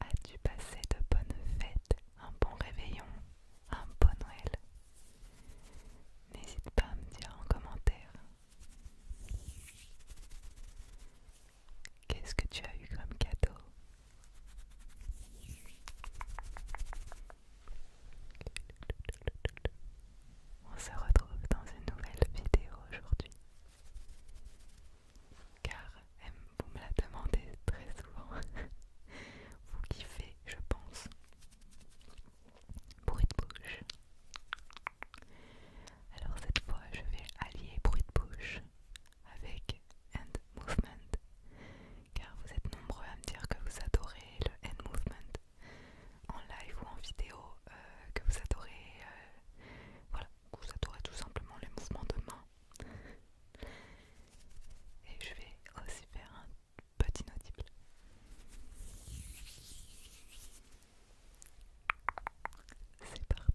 As-tu passé de bonnes fêtes, un bon réveillon, un bon Noël N'hésite pas à me dire en commentaire. Qu'est-ce que tu as eu comme cadeau on se retrouve dans une nouvelle vidéo aujourd'hui. Car vous me la demandez très souvent. vous kiffez, je pense. Bruit de bouche. Alors cette fois, je vais allier bruit de bouche avec end movement. Car vous êtes nombreux à me dire que vous adorez le end movement en live ou en vidéo euh, que vous adorez. Euh, voilà, vous adorez tout simplement les mouvements de main. Et je vais aussi faire un petit audible. C'est parti.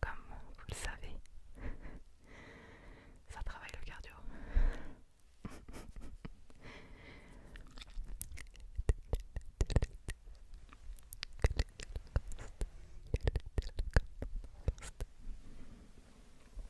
Comme vous le savez, ça travaille le cardio.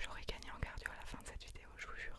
J'aurais gagné en cardio à la fin de cette vidéo, je vous jure.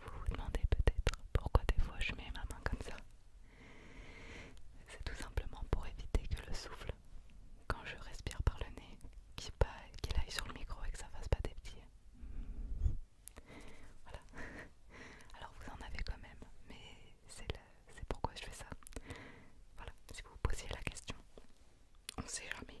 Vous vous demandez peut-être pourquoi des fois je mets ma main comme ça. C'est tout simplement pour éviter que le souffle, quand je respire par le nez, qu'il aille sur le micro et que ça fasse pas des petits. Voilà. Alors vous en avez quand même, mais c'est le c'est pourquoi je fais ça. Voilà, si vous vous posiez la question, on sait jamais.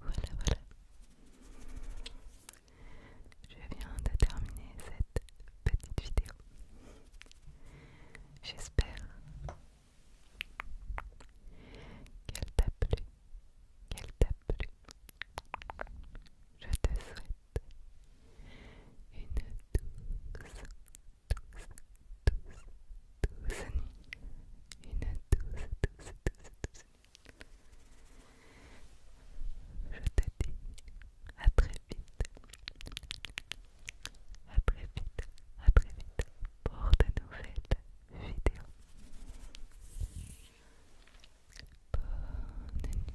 Voilà, voilà. Je viens de terminer cette petite vidéo. J'espère qu'elle t'a plu, qu'elle t'a plu. Je te souhaite une douce, douce, douce, douce nuit. Une douce, douce, douce, douce Je te dis à très vite. À très vite, à très vite pour de nouvelles vidéos. Bonne nuit.